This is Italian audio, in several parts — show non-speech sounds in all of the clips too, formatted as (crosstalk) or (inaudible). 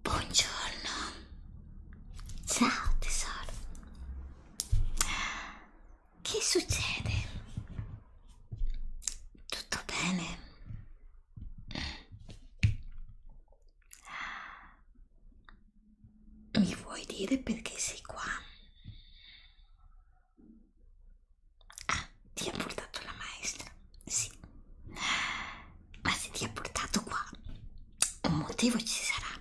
Buongiorno. Ciao tesoro. Che succede? Tutto bene? Mi vuoi dire perché sei qua? Ah, ti ha portato la maestra? Sì. Ma se ti ha portato qua, un motivo ci sarà.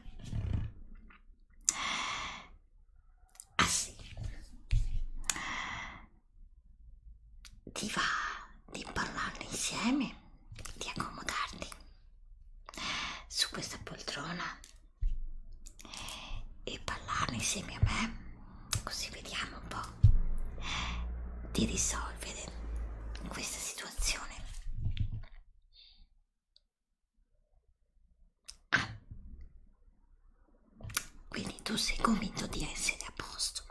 Ah sì. Ti va di parlarne insieme, di accomodarti su questa poltrona e ballarne insieme a me così vediamo un po' di risolvere questa situazione ah. quindi tu sei convinto di essere a posto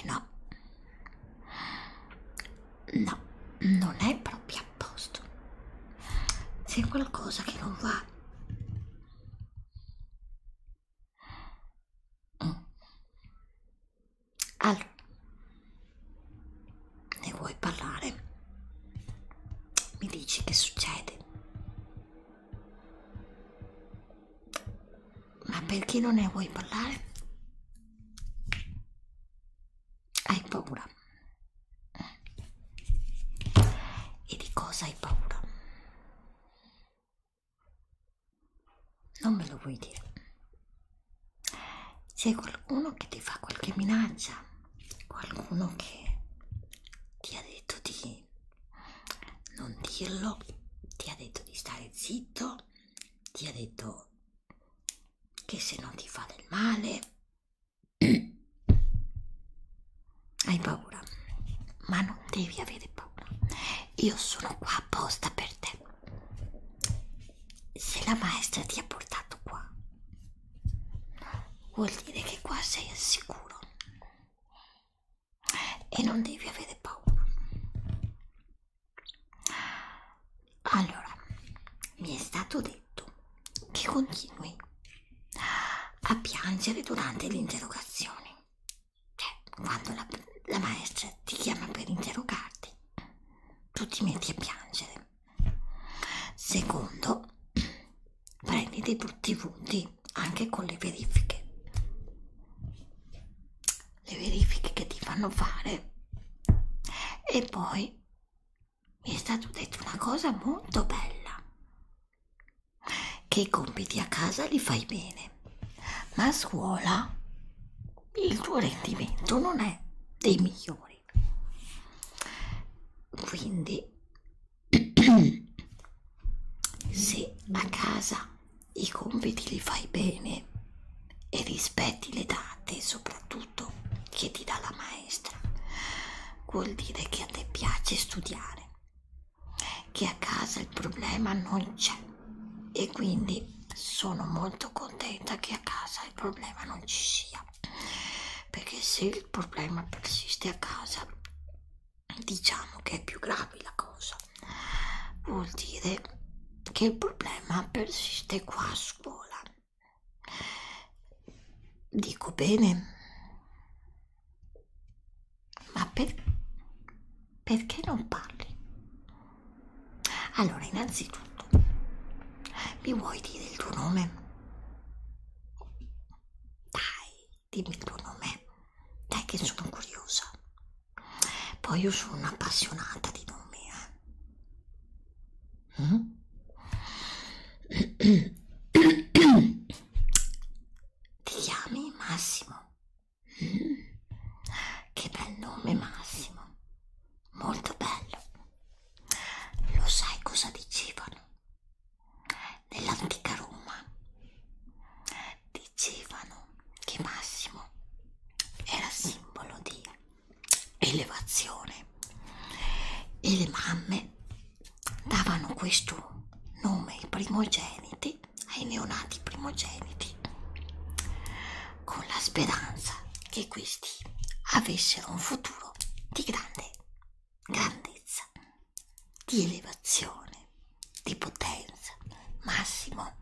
eh no no non è proprio a posto c'è qualcosa che non va mm. allora ne vuoi parlare mi dici che succede ma perché non ne vuoi parlare hai paura e di cosa hai paura? Non me lo vuoi dire? C'è qualcuno che ti fa qualche minaccia? Qualcuno che ti ha detto di non dirlo? Ti ha detto di stare zitto? Ti ha detto che se no ti fa del male? (clears throat) Hai paura, ma non devi avere paura. Io sono qua apposta per te. Se la maestra ti ha portato qua, vuol dire che qua sei al sicuro e non devi avere paura. Allora, mi è stato detto che continui a piangere durante l'interrogazione, cioè quando la, la maestra ti chiama per interrogarti, tu ti metti a piangere. Secondo, prendi dei brutti punti anche con le verifiche. Le verifiche che ti fanno fare e poi mi è stato detto una cosa molto bella che i compiti a casa li fai bene ma a scuola il tuo rendimento non è dei migliori quindi (clears throat) se a casa i compiti li fai bene e rispetti le date soprattutto tutto che ti dà la maestra vuol dire che a te piace studiare che a casa il problema non c'è e quindi sono molto contenta che a casa il problema non ci sia perché se il problema persiste a casa diciamo che è più grave la cosa vuol dire che il problema persiste qua a scuola Dico bene. Ma per... perché non parli? Allora, innanzitutto, mi vuoi dire il tuo nome? Dai, dimmi il tuo nome. Dai che sono curiosa. Poi io sono un'appassionata di nomi, eh. Uh-huh. Ti chiami Massimo? Che bel nome Massimo, molto bello. Lo sai cosa dicevano? Nell'antica Roma dicevano che Massimo era simbolo di elevazione e le mamme davano questo nome ai primogeniti, ai neonati primogeniti, con la speranza che questi avessero un futuro di grande grandezza, di elevazione, di potenza. Massimo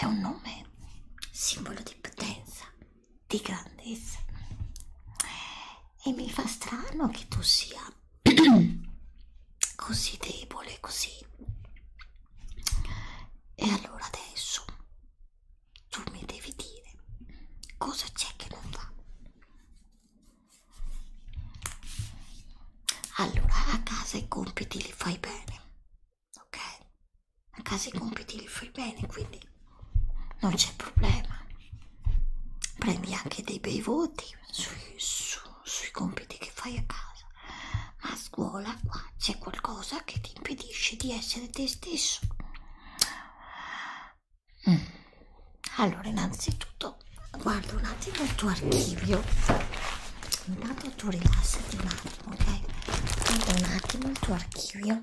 è un nome simbolo di potenza di grandezza e mi fa strano che tu sia (clears throat) così debole così e allora adesso tu mi devi dire cosa c'è che non va allora a casa i compiti li fai bene ok a casa i compiti li fai bene, quindi non c'è problema. Prendi anche dei bei voti sui, su, sui compiti che fai a casa, ma a scuola qua c'è qualcosa che ti impedisce di essere te stesso. Mm. Allora, innanzitutto, guarda un attimo il tuo archivio. Intanto tu rilassati un attimo, ok? Guarda un attimo il tuo archivio.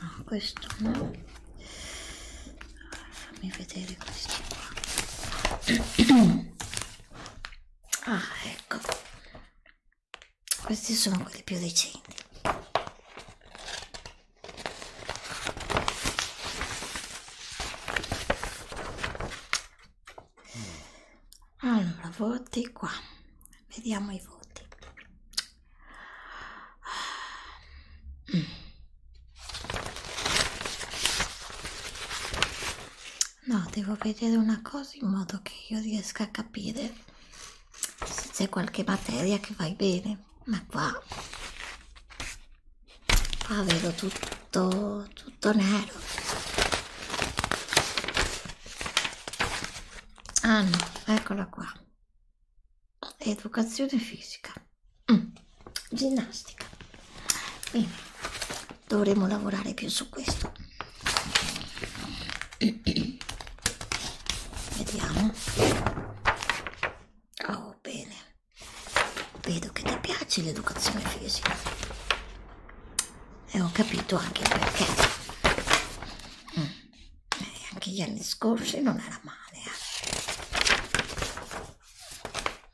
no, questo no allora, fammi vedere questo qua (clears throat) ah ecco questi sono quelli più recenti allora voti qua vediamo i voti Mm. No, devo vedere una cosa in modo che io riesca a capire se c'è qualche materia che vai bene, ma qua, qua vedo tutto, tutto nero. Ah no, eccola qua educazione fisica mm. ginnastica Bene. dovremo lavorare più su questo vediamo oh bene vedo che ti piace l'educazione fisica e ho capito anche il perché mm eh, anche gli anni scorsi non era male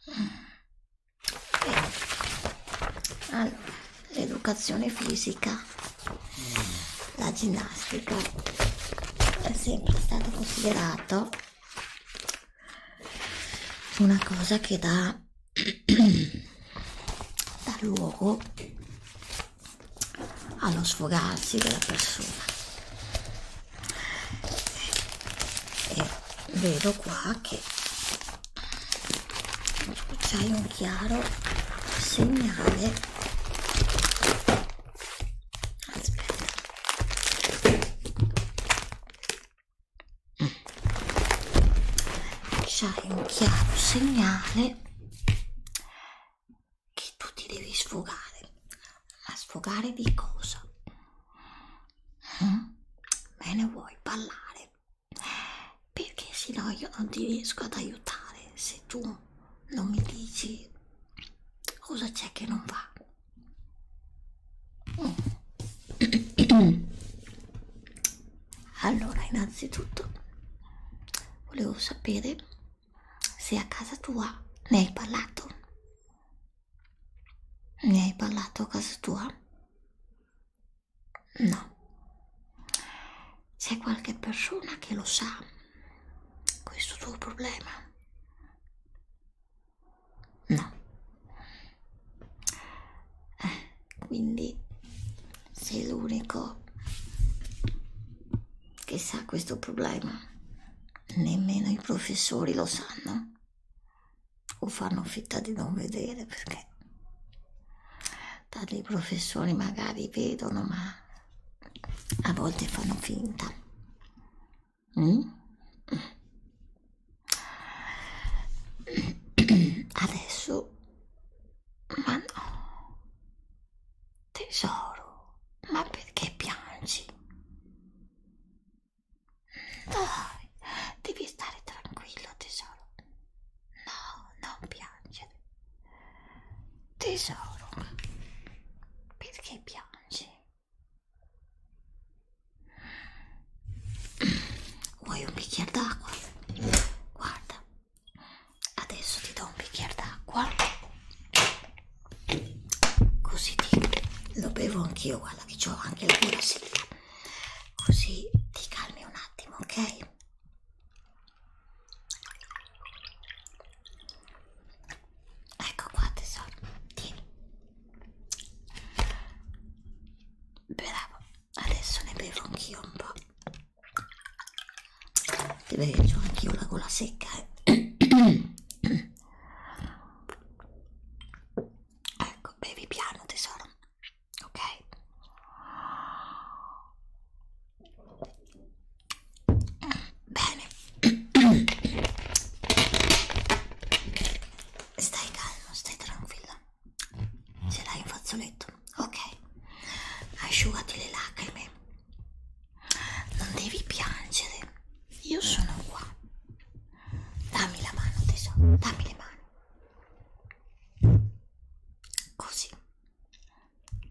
eh. mm. allora l'educazione fisica la ginnastica è sempre stato considerato una cosa che dà, (clears throat) dà luogo allo sfogarsi della persona e vedo qua che c'è un chiaro segnale aspetta c'è un chiaro segnale che tu ti devi sfogare. Ma sfogare di cosa? Mm? Me ne vuoi parlare? Perché se no io non ti riesco ad aiutare se tu non mi dici cosa c'è che non va. Mm. (coughs) Allora, innanzitutto volevo sapere se a casa tua ne hai parlato ne hai parlato a casa tua no c'è qualche persona che lo sa questo tuo problema no eh, quindi sei l'unico che sa questo problema, nemmeno i professori lo sanno o fanno finta di non vedere perché tanti professori magari vedono ma a volte fanno finta. Mm? Adesso ma no. Tesoro, ma perché piangi? Dai, devi stare tranquillo, tesoro. No, non piangere. Tesoro, perché piangi? Vuoi un bicchiere d'acqua? Guarda, adesso ti do un bicchiere d'acqua così ti, lo bevo anch'io guarda che ho anche la gola secca così ti calmi un attimo ok ecco qua tesoro tieni bravo adesso ne bevo anch'io un po Deve che ho anch'io la gola secca. Eh. ecco, bevi piano tesoro. Ok. Bene. Stai calmo, stai tranquilla. Ce l'hai in fazzoletto? Ok. Asciugati le lacrime. Non devi piangere, io sono qua. Dammi la mano, tesoro, dammi le mani. Così,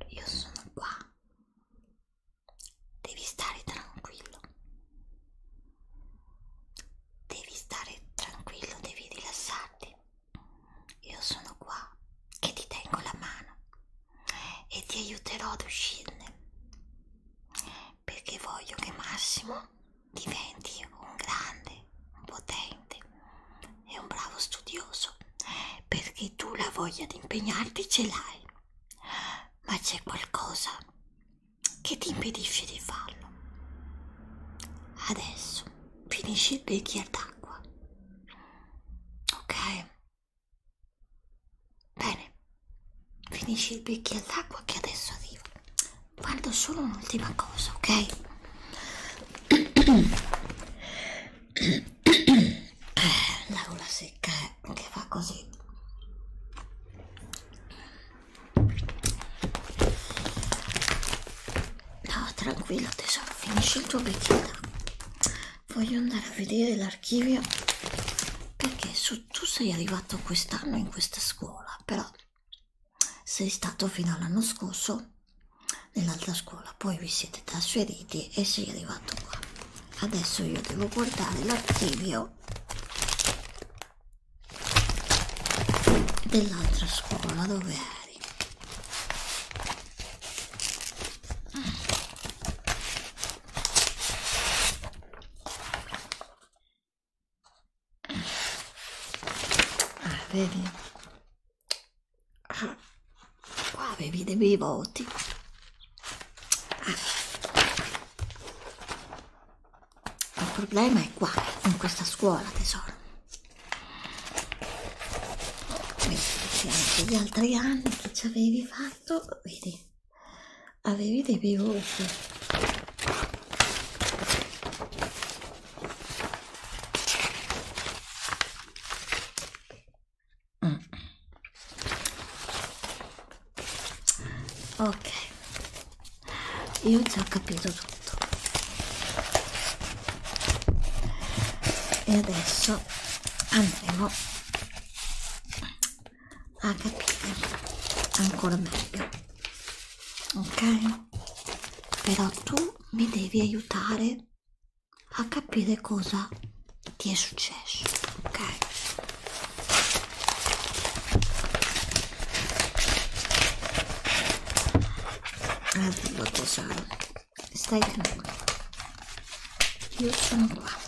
io sono qua. Devi stare tranquillo. Devi stare tranquillo, devi rilassarti. Io sono qua che ti tengo la mano e ti aiuterò ad uscirne perché voglio che Massimo diventi un grande, un potente e un bravo studioso perché tu la voglia di impegnarti ce l'hai ma c'è qualcosa che ti impedisce di farlo adesso finisci il bicchiere d'acqua ok Bene, finisci il bicchiere d'acqua che adesso arriva. Guardo solo un'ultima cosa, ok? (coughs) La gola secca eh, che fa così. No, tranquillo tesoro, finisci il tuo bicchiere d'acqua voglio andare a vedere l'archivio perché su, tu sei arrivato quest'anno in questa scuola però sei stato fino all'anno scorso nell'altra scuola poi vi siete trasferiti e sei arrivato qua adesso io devo guardare l'archivio dell'altra scuola dove eri Ah, vedi? Ah, qua avevi dei voti. Ah. Il problema è qua, in questa scuola, tesoro. Questi anche gli altri anni che ci avevi fatto alto vedi avevi dei bei volti mm. ok io già ho capito tutto e adesso andremo a capire ancora meglio ok però tu mi devi aiutare a capire cosa ti è successo ok allora tesoro stai tranquillo io sono qua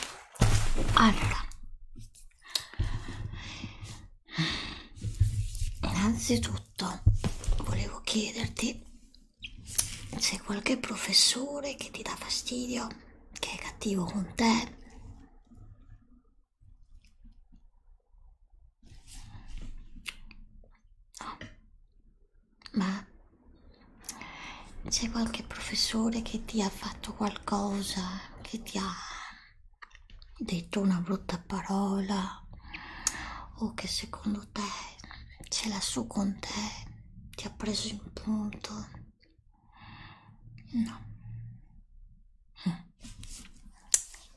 Allora, innanzitutto volevo chiederti se qualche professore che ti dà fastidio, che è cattivo con te, no. Ma c'è qualche professore che ti ha fatto qualcosa, che ti ha detto una brutta parola o che secondo te ce l'ha su con te, ti ha preso in punto? No.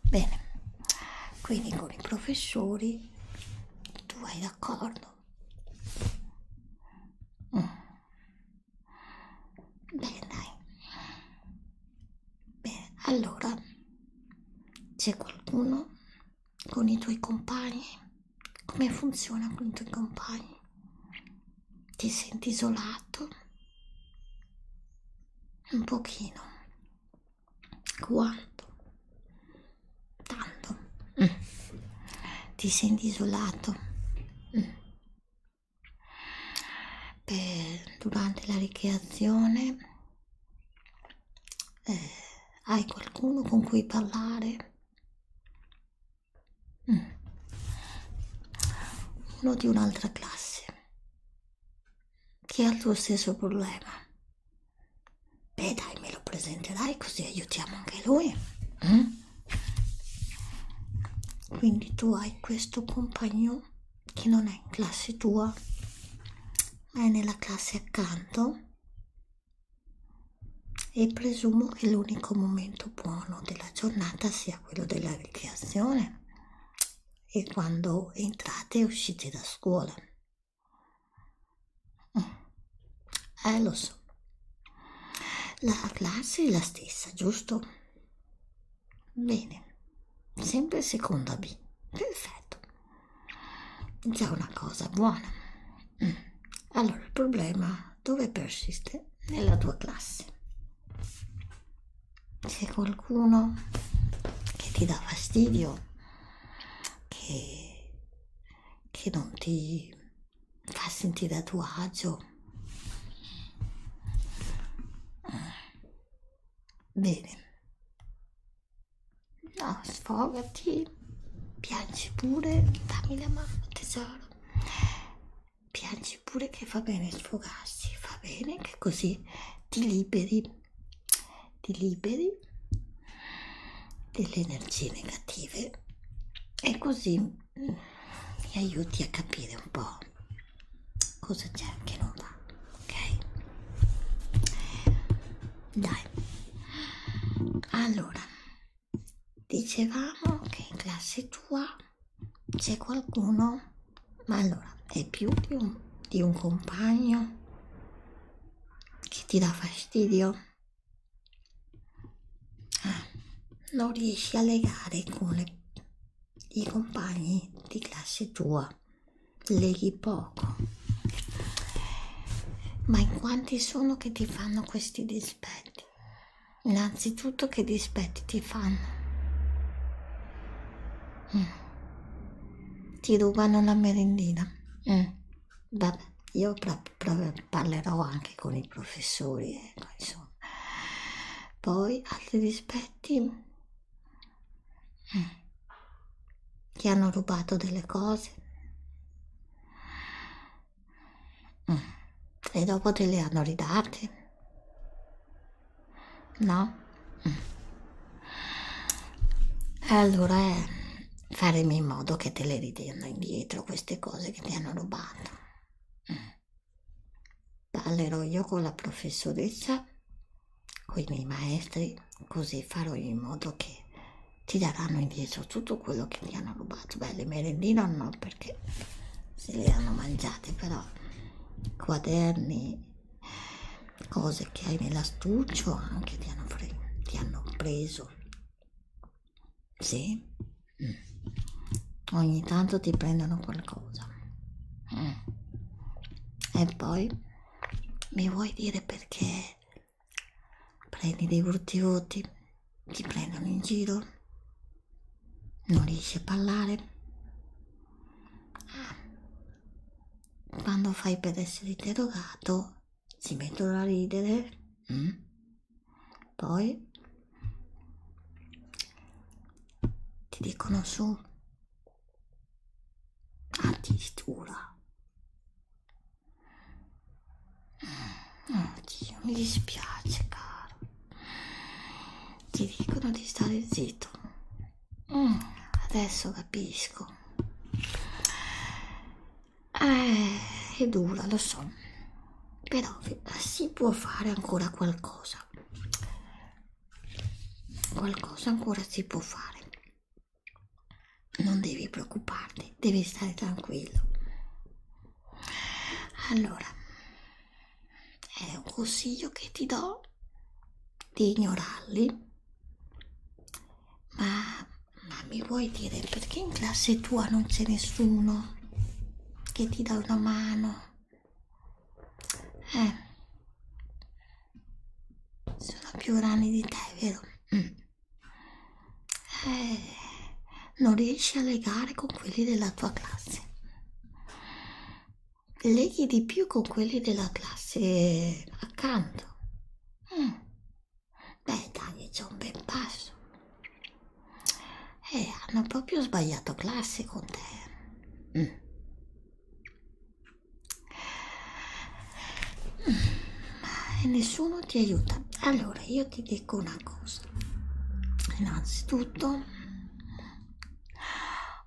Bene, quindi con i professori tu vai d'accordo Bene, dai. Bene, allora c'è qualcuno con i tuoi compagni? Come funziona con i tuoi compagni? Ti senti isolato? Un pochino. Quanto? tanto mm. ti senti isolato mm. per, durante la ricreazione eh, hai qualcuno con cui parlare mm. uno di un'altra classe che ha il tuo stesso problema Beh dai, me lo presenterai così aiutiamo anche lui. Mm? Quindi tu hai questo compagno che non è in classe tua, ma è nella classe accanto e presumo che l'unico momento buono della giornata sia quello della ricreazione e quando entrate e uscite da scuola eh, lo so. La classe è la stessa, giusto? Bene, sempre seconda B. Perfetto. Già una cosa buona. Mm. Allora, il problema dove persiste? Nella tua classe. C'è qualcuno che ti dà fastidio, che, che non ti fa sentire a tuo agio. Eh. Bene. No, sfogati, piangi pure, dammi la mano tesoro. Piangi pure che fa bene sfogarsi, fa bene che così ti liberi, ti liberi delle energie negative e così mm, mi aiuti a capire un po' cosa c'è che non va ok dai allora dicevamo che in classe tua c'è qualcuno ma allora è più di un, di un compagno che ti dà fastidio non riesci a legare con le, i compagni di classe tua, leghi poco. Ma in quanti sono che ti fanno questi dispetti? Innanzitutto che dispetti ti fanno? Mm. Ti rubano la merendina. Mm. Vabbè, io parlerò anche con i professori, ecco, insomma. Poi altri dispetti ti mm. hanno rubato delle cose mm. e dopo te le hanno ridate. No? Mm. E allora eh, faremo in modo che te le ritengano indietro queste cose che ti hanno rubato. Mm. Parlerò io con la professoressa, con i miei maestri, così farò in modo che ti daranno indietro tutto quello che ti hanno rubato. Beh, le merendine no, perché se le hanno mangiate, però quaderni, cose che hai nell'astuccio anche ti hanno, ti hanno preso sì? Mm. Ogni tanto ti prendono qualcosa. Mm. E poi mi vuoi dire perché prendi dei brutti voti, ti prendono in giro, non riesci a parlare. Ah. Quando fai per essere interrogato si mettono a ridere, mm? poi ti dicono su addirittura. Oddio, ah, mi dispiace, caro. Ti dicono di stare zitto. Mm, adesso capisco. Eh, è dura, lo so, però eh, si può fare ancora qualcosa. Qualcosa ancora si può fare. Non devi preoccuparti, devi stare tranquillo. Allora, è un consiglio che ti do di ignorarli, ma ma mi vuoi dire perché in classe tua non c'è nessuno che ti dà una mano? Eh. Sono più rani di te, vero? Mm. Eh, non riesci a legare con quelli della tua classe. Leghi di più con quelli della classe accanto. Mm. Beh, dai, c'è un bel passo. Eh, hanno proprio sbagliato classe con te. Mm. E mm. nessuno ti aiuta. Allora, io ti dico una cosa. Innanzitutto,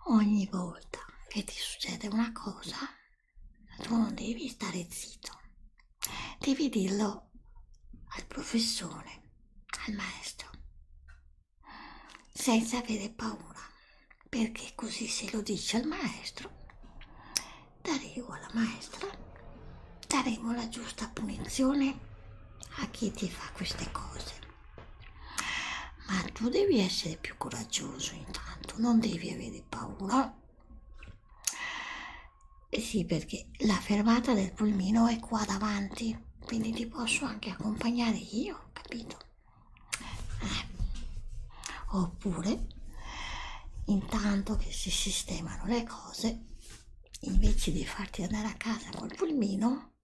ogni volta che ti succede una cosa, tu non devi stare zitto, devi dirlo al professore, al maestro, senza avere paura, perché così se lo dici al maestro, daremo alla maestra, daremo la giusta punizione a chi ti fa queste cose. Ma tu devi essere più coraggioso intanto, non devi avere paura eh sì, perché la fermata del pulmino è qua davanti, quindi ti posso anche accompagnare io, capito? Eh. Oppure, intanto che si sistemano le cose, invece di farti andare a casa col pulmino,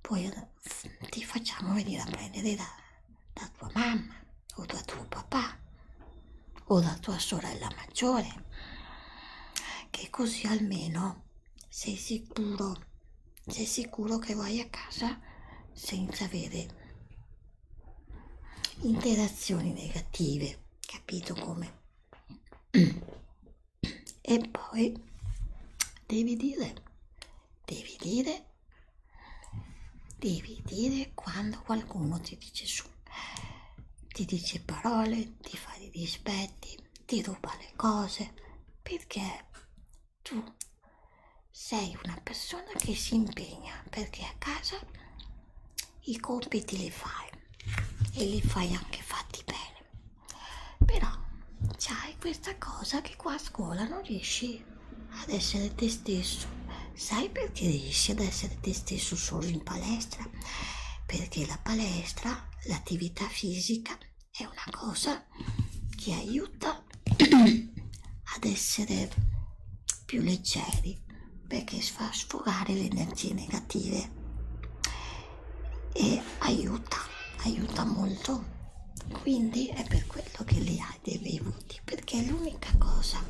poi ti facciamo venire a prendere da, da tua mamma o da tuo papà o la tua sorella maggiore, che così almeno sei sicuro, sei sicuro che vai a casa senza avere interazioni negative, capito come? E poi devi dire, devi dire, devi dire quando qualcuno ti dice su ti dice parole, ti fa i dispetti, ti ruba le cose perché tu sei una persona che si impegna perché a casa i compiti li fai e li fai anche fatti bene però c'hai questa cosa che qua a scuola non riesci ad essere te stesso sai perché riesci ad essere te stesso solo in palestra? Perché la palestra, l'attività fisica è una cosa che aiuta ad essere più leggeri perché fa sfogare le energie negative e aiuta, aiuta molto. Quindi è per quello che li hai dei bevuti, perché è l'unica cosa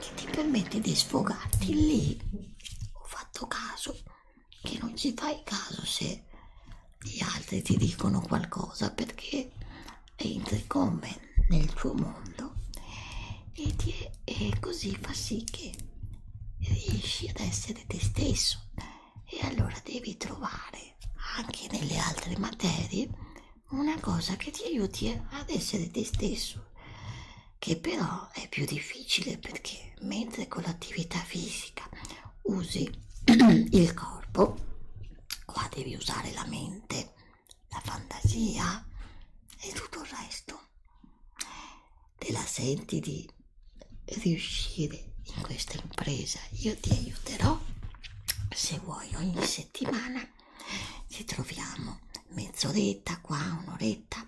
che ti permette di sfogarti lì ho fatto caso che non ci fai caso se gli altri ti dicono qualcosa perché entri come nel tuo mondo e, ti è, e così fa sì che riesci ad essere te stesso e allora devi trovare anche nelle altre materie una cosa che ti aiuti ad essere te stesso che però è più difficile perché mentre con l'attività fisica usi (clears throat) il corpo, qua devi usare la mente, la fantasia e tutto il resto. Te la senti di riuscire in questa impresa? Io ti aiuterò. Se vuoi, ogni settimana ci troviamo mezz'oretta qua, un'oretta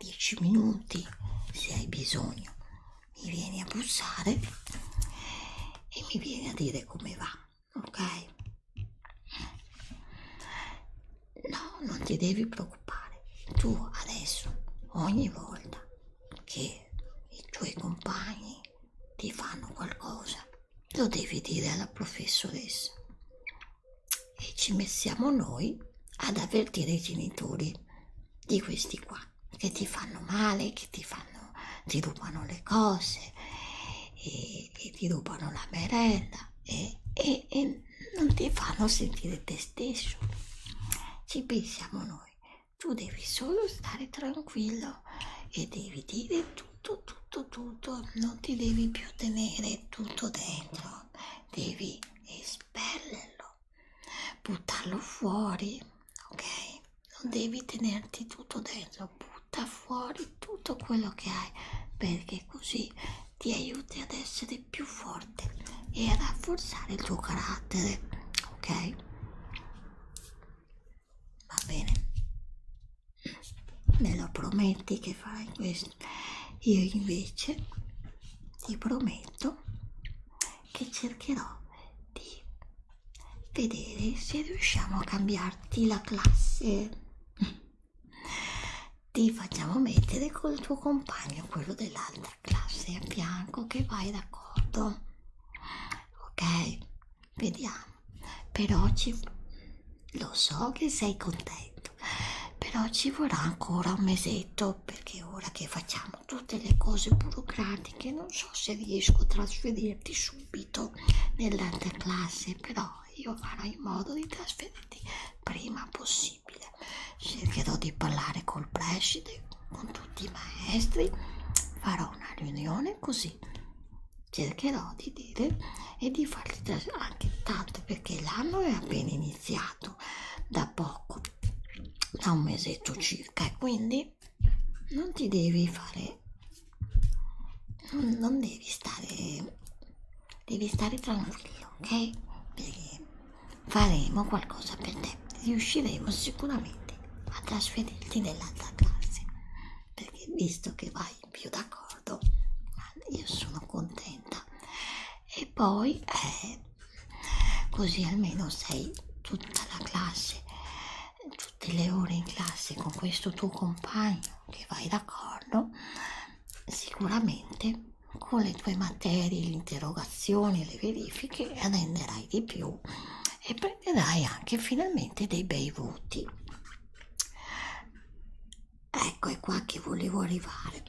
10 minuti se hai bisogno mi vieni a bussare e mi vieni a dire come va ok no non ti devi preoccupare tu adesso ogni volta che i tuoi compagni ti fanno qualcosa lo devi dire alla professoressa e ci mettiamo noi ad avvertire i genitori di questi qua che ti fanno male, che ti fanno, ti rubano le cose e, e ti rubano la merenda e, e, e non ti fanno sentire te stesso. Ci pensiamo noi. Tu devi solo stare tranquillo e devi dire tutto, tutto, tutto, non ti devi più tenere tutto dentro no, devi espellerlo, buttarlo fuori, ok? Non devi tenerti tutto dentro, butta fuori tutto quello che hai perché così ti aiuti ad essere più forte e a rafforzare il tuo carattere, ok? Va bene, me lo prometti che farai questo? io invece ti prometto che cercherò di vedere se riusciamo a cambiarti la classe ti facciamo mettere col tuo compagno quello dell'altra classe a fianco che vai d'accordo ok vediamo però ci lo so che sei contento, però ci vorrà ancora un mesetto perché ora che facciamo tutte le cose burocratiche non so se riesco a trasferirti subito nell'altra classe, però io farò in modo di trasferirti prima possibile. Cercherò di parlare col preside, con tutti i maestri, farò una riunione così cercherò di vedere e di farli anche tanto perché l'anno è appena iniziato da poco da un mesetto circa e quindi non ti devi fare non, non devi stare devi stare tranquillo ok perché faremo qualcosa per te riusciremo sicuramente a trasferirti nell'altra classe perché visto che vai più d'accordo io sono contenta e poi eh, così almeno sei tutta la classe tutte le ore in classe con questo tuo compagno che vai d'accordo sicuramente con le tue materie le interrogazioni le verifiche renderai di più e prenderai anche finalmente dei bei voti ecco è qua che volevo arrivare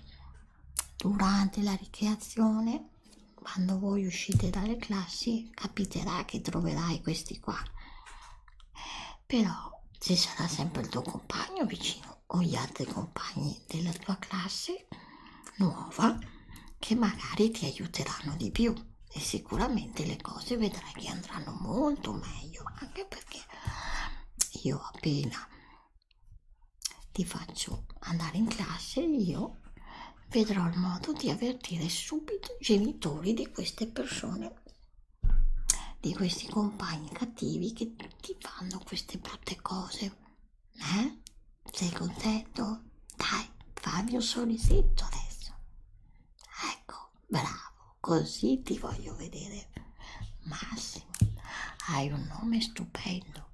durante la ricreazione quando voi uscite dalle classi capiterà che troverai questi qua però ci sarà sempre il tuo compagno vicino o gli altri compagni della tua classe nuova che magari ti aiuteranno di più e sicuramente le cose vedrai che andranno molto meglio anche perché io appena ti faccio andare in classe e io vedrò il modo di avvertire subito i genitori di queste persone, di questi compagni cattivi che ti fanno queste brutte cose. Eh? Sei contento? Dai, fammi un sorrisetto adesso. Ecco, bravo, così ti voglio vedere. Massimo, hai un nome stupendo,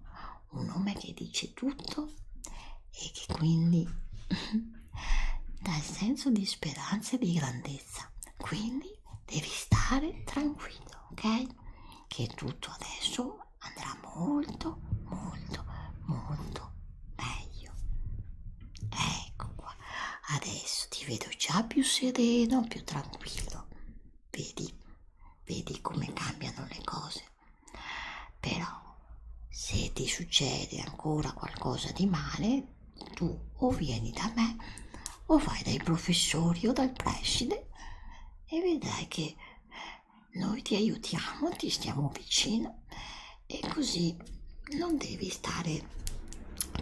un nome che dice tutto e che quindi (laughs) dà il senso di speranza e di grandezza. Quindi devi stare tranquillo, ok? Che tutto adesso andrà molto, molto, molto meglio. Ecco qua adesso ti vedo già più sereno, più tranquillo. Vedi, vedi come cambiano le cose. Però se ti succede ancora qualcosa di male, tu o vieni da me o vai dai professori o dal preside e vedrai che noi ti aiutiamo, ti stiamo vicino e così non devi stare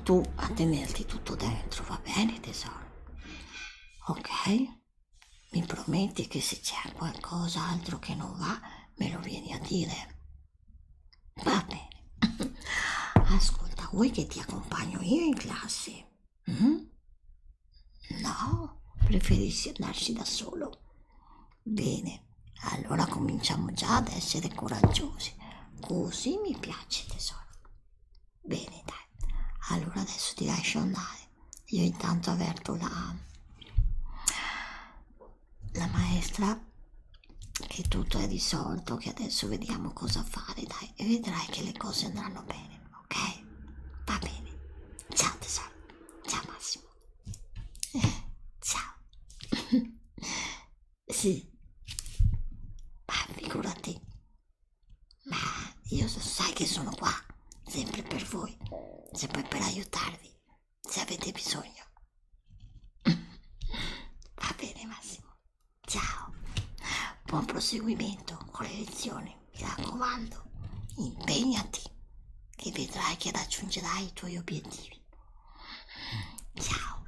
tu a tenerti tutto dentro, va bene tesoro? ok? Mi prometti che se c'è qualcos'altro che non va me lo vieni a dire? Va bene. (laughs) Ascolta, vuoi che ti accompagno io in classe? Mm? No, preferisci andarci da solo? Bene, allora cominciamo già ad essere coraggiosi. Così mi piace tesoro. Bene, dai. Allora adesso ti lascio andare. Io intanto avverto la, la maestra che tutto è risolto, che adesso vediamo cosa fare, dai. E vedrai che le cose andranno bene, ok? Va bene. Ciao tesoro. Ciao Massimo. Eh, ciao. (laughs) sì. Ma figurati. Ma io sai che sono qua, sempre per voi, sempre per aiutarvi, se avete bisogno. (clears throat) Va bene Massimo, ciao, buon proseguimento con le lezioni, mi raccomando, impegnati e vedrai che raggiungerai i tuoi obiettivi. Ciao.